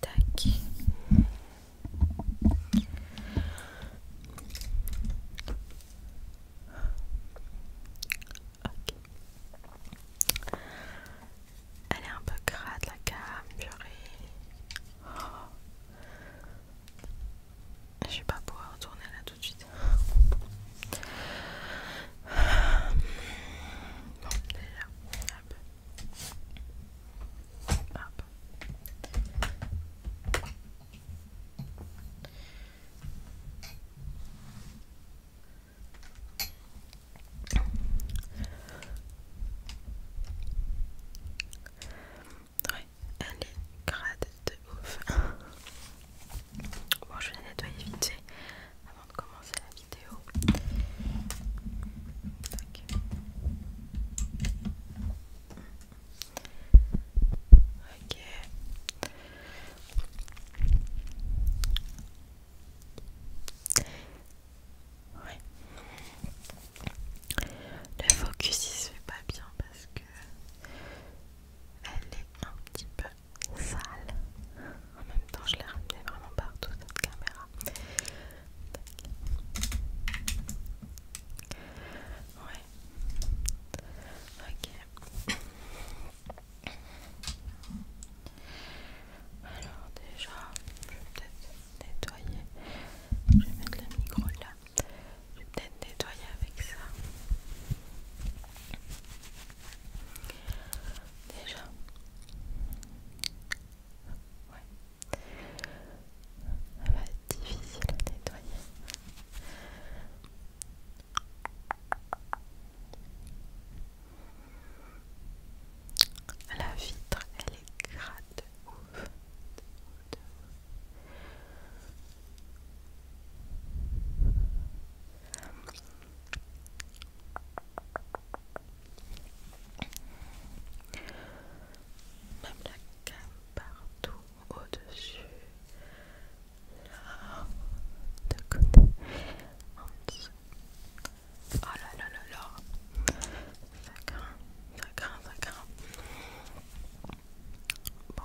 Tac. Elle est un peu crade la cam' purée. Oh. Je vais pas pouvoir retourner là tout de suite elle est grade de ouf. Bon, je vais la nettoyer vite fait avant de commencer la vidéo. Le focus il se fait pas bien parce que elle est un petit peu sale. En même temps, je l'ai ramené vraiment partout cette caméra. Ouais. Ok. Alors déjà, je vais peut-être nettoyer. Je vais mettre le micro là. Je vais peut-être nettoyer avec ça. Déjà. Ouais. Ça va être difficile à nettoyer. La vitre, elle est gratte ouf. Même la gamme partout au-dessus, là, de côté, en dessous. Oh là là là là, ça craint, ça craint, ça craint. Bon,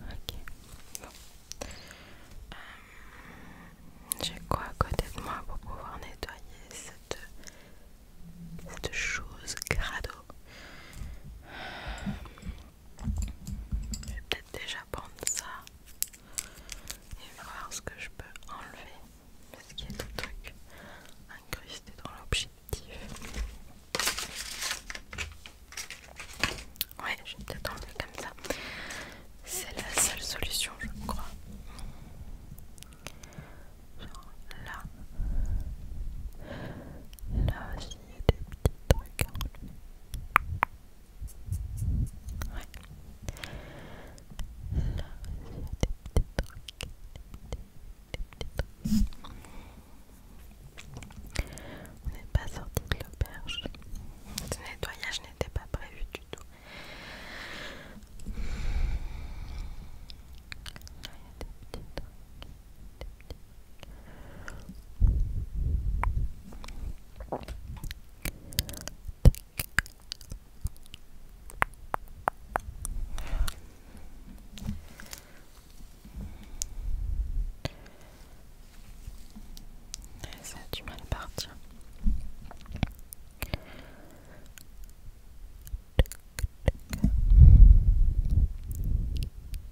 Ok. Euh, j'ai quoi à côté de moi pour pouvoir nettoyer cette, chose Grado Je vais peut-être déjà prendre ça. Et voir ce que je peux enlever parce qu'il y a des trucs incrustés dans l'objectif. Ouais, je vais peut-être enlever comme ça. C'est la seule solution, je crois. Genre là. Là aussi, il y a des petits trucs à enlever. On n'est pas sorti de l'auberge. Ce nettoyage n'était pas prévu du tout. Elle sent du mal partie.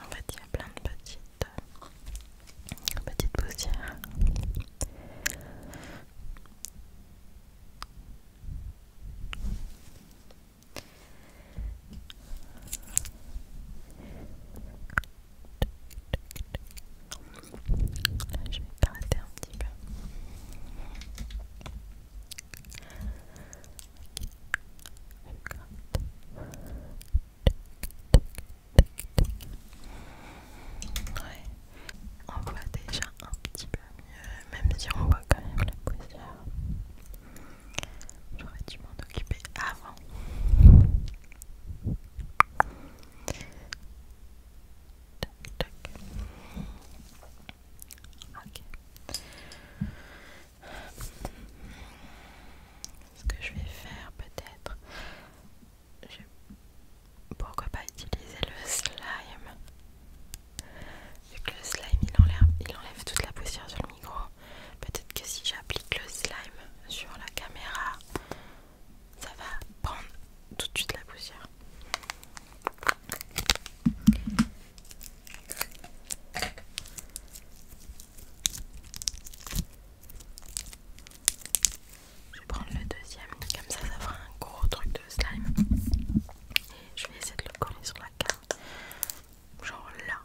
En fait, il y a plein de petites, petites poussières. Là, je vais t'arrêter un petit peu on voit déjà un petit peu mieux, même si on voit quand même la poussière. J'aurais dû m'en occuper avant. Ok. Ce que je vais faire peut-être, pourquoi pas utiliser le slime Vu que le slime il enlève, il enlève toute la poussière sur le micro, peut-être que si j'applique le slime sur la caméra, ça va prendre tout de suite la poussière. Je vais prendre le deuxième, comme ça ça fera un gros truc de slime. Et je vais essayer de le coller sur la carte. Genre là.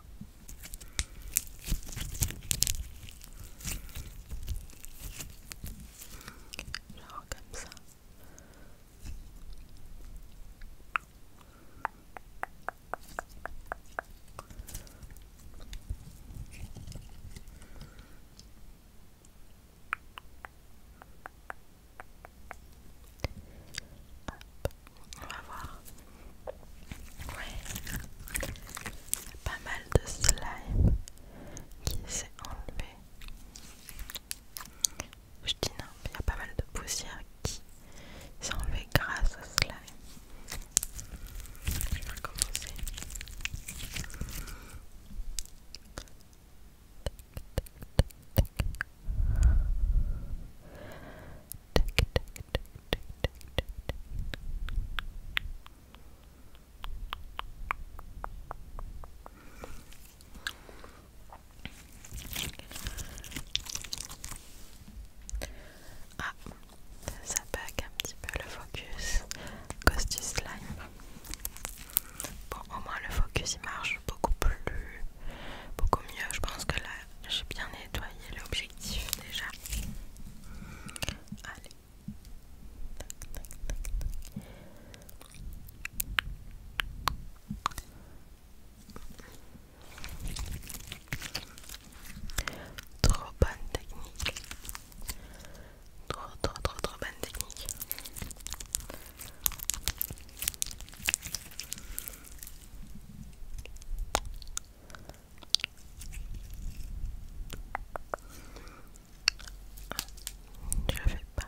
Genre comme ça. On va voir. Ouais. Pas mal de slime qui s'est enlevé je dis non, il y a pas mal de poussière qui s'est enlevée grâce à cela. Ah, ça bug un petit peu le focus cause slime. Bon, au moins le focus il marche beaucoup plus, beaucoup mieux. Je pense que là j'ai bien nettoyé l'objectif déjà. Allez. Trop bonne technique. Trop trop trop trop bonne technique. Je vais pas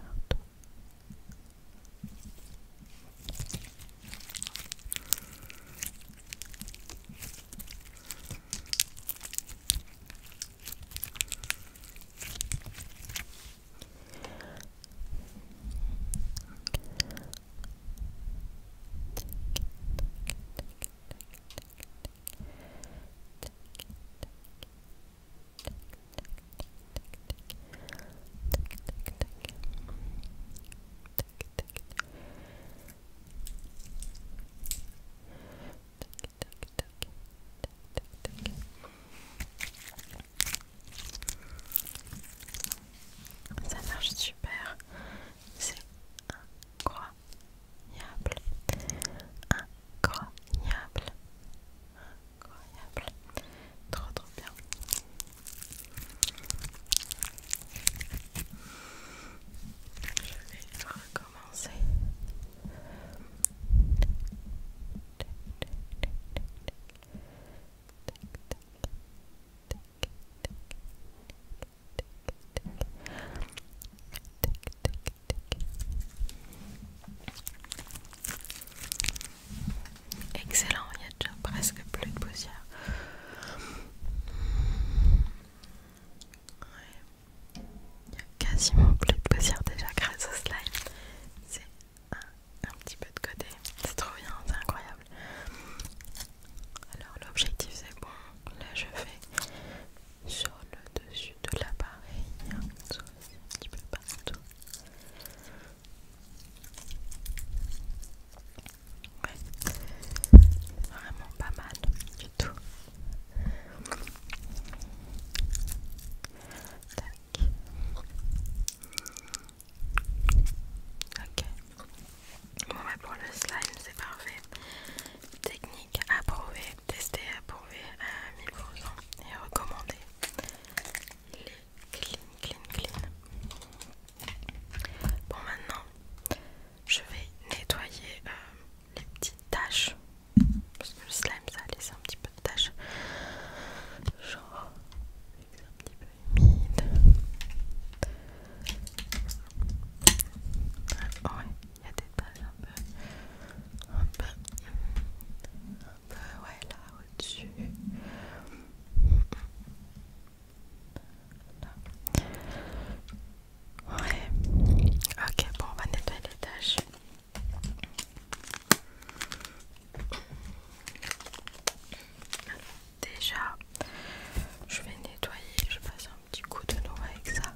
ça marche super, c'est incroyable, incroyable incroyable trop trop bien je vais recommencer Excellent, il y a déjà presque plus de poussière. Il y a quasiment plus de poussière déjà grâce au slime. C'est un petit peu de côté. C'est trop bien, c'est incroyable. Alors l'objectif c'est bon. Là je fais sur le dessus de l'appareil, un petit peu partout. Ouais, vraiment pas mal du tout. Tac. Ok. Bon, bah pour le slime, c'est parfait. Technique Approuver, tester, approuver à 1000% et recommandé Les clean, clean, clean. Bon, maintenant, je vais nettoyer euh, les petites taches. Parce que le slime, ça laisse un petit peu de taches. Genre, c'est un petit peu humide il y a des taches un peu, un peu, un peu, ouais, là au-dessus. Ouais, ok, bon, on va nettoyer les taches. Déjà, je vais nettoyer, je vais faire un petit coup de l'eau avec ça.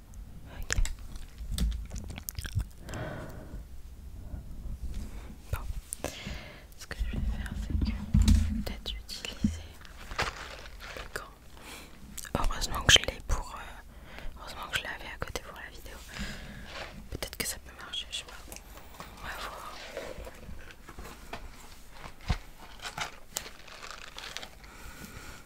Ok. Bon. Ce que je vais faire, c'est que peut-être utiliser le gants Heureusement que je l'ai pour. Euh, heureusement que je l'avais à côté pour la vidéo. Peut-être que ça peut marcher, je sais pas. On va voir.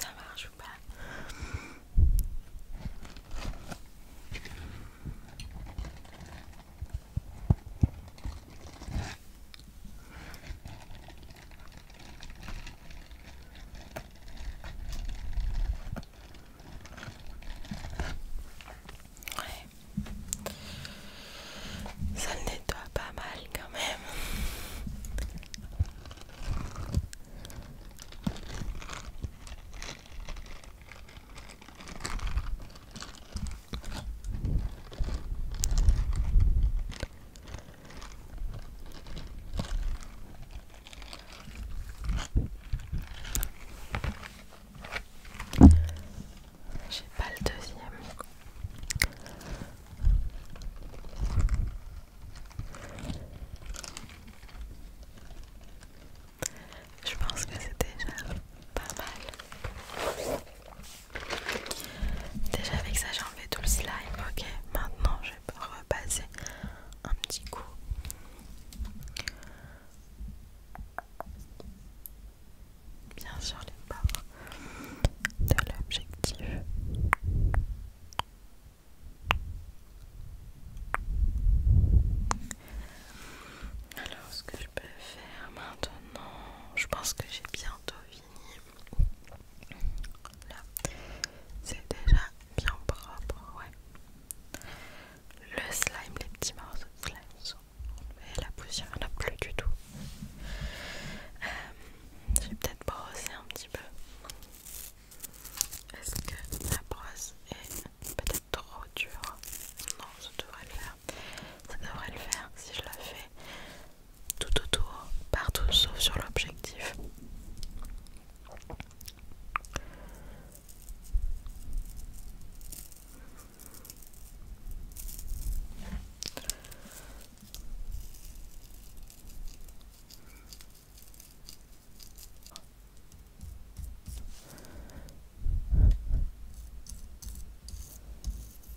Ça marche ou pas ça nettoie pas mal quand même. J'ai pas le deuxième. Je pense que c'était pas mal. Déjà avec ça j'ai enlevé tout le slime, ok. Maintenant je vais repasser un petit coup. Bien sur les bords de l'objectif. Alors ce que je peux faire maintenant, je pense que j'ai bientôt fini c'est déjà bien propre, ouais. Le slime, les petits morceaux de slime sont et la poussière, il a plus du tout. Euh, je vais peut-être brosser un petit peu. Est-ce que la brosse est peut-être trop dure Non, ça devrait le faire. Ça devrait le faire si je la fais tout autour, partout sauf sur l'objectif.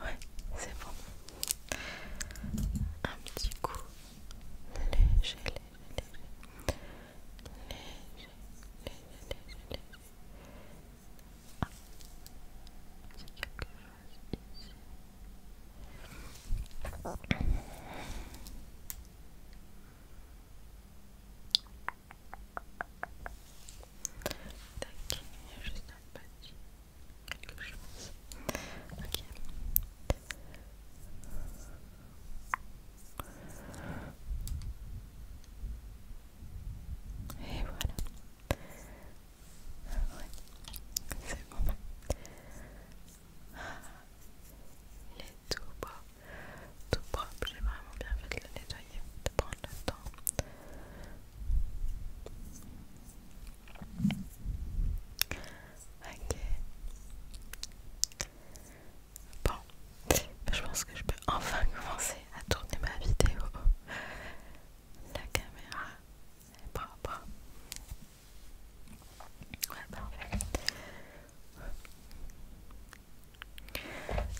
Ouais, c'est bon. Un petit coup léger, léger, léger. Ah, Tac, juste un petit Et voilà. Ah c'est bon. Il est tout propre, tout propre. J'ai vraiment bien fait de le nettoyer, de prendre le temps. Ok. Bon, je pense que je peux enfin commencer à tourner ma vidéo. La caméra est propre. Ouais, parfait.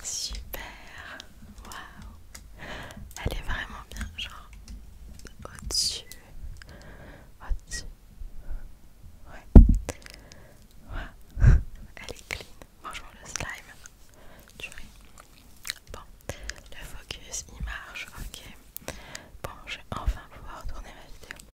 Super. Waouh. Elle est vraiment bien, genre au-dessus. Au-dessus. Ouais. Ouais. Elle est clean. Bonjour le slime. Tu ris. Bon, le focus il marche, ok. Bon, je vais enfin pouvoir tourner ma vidéo.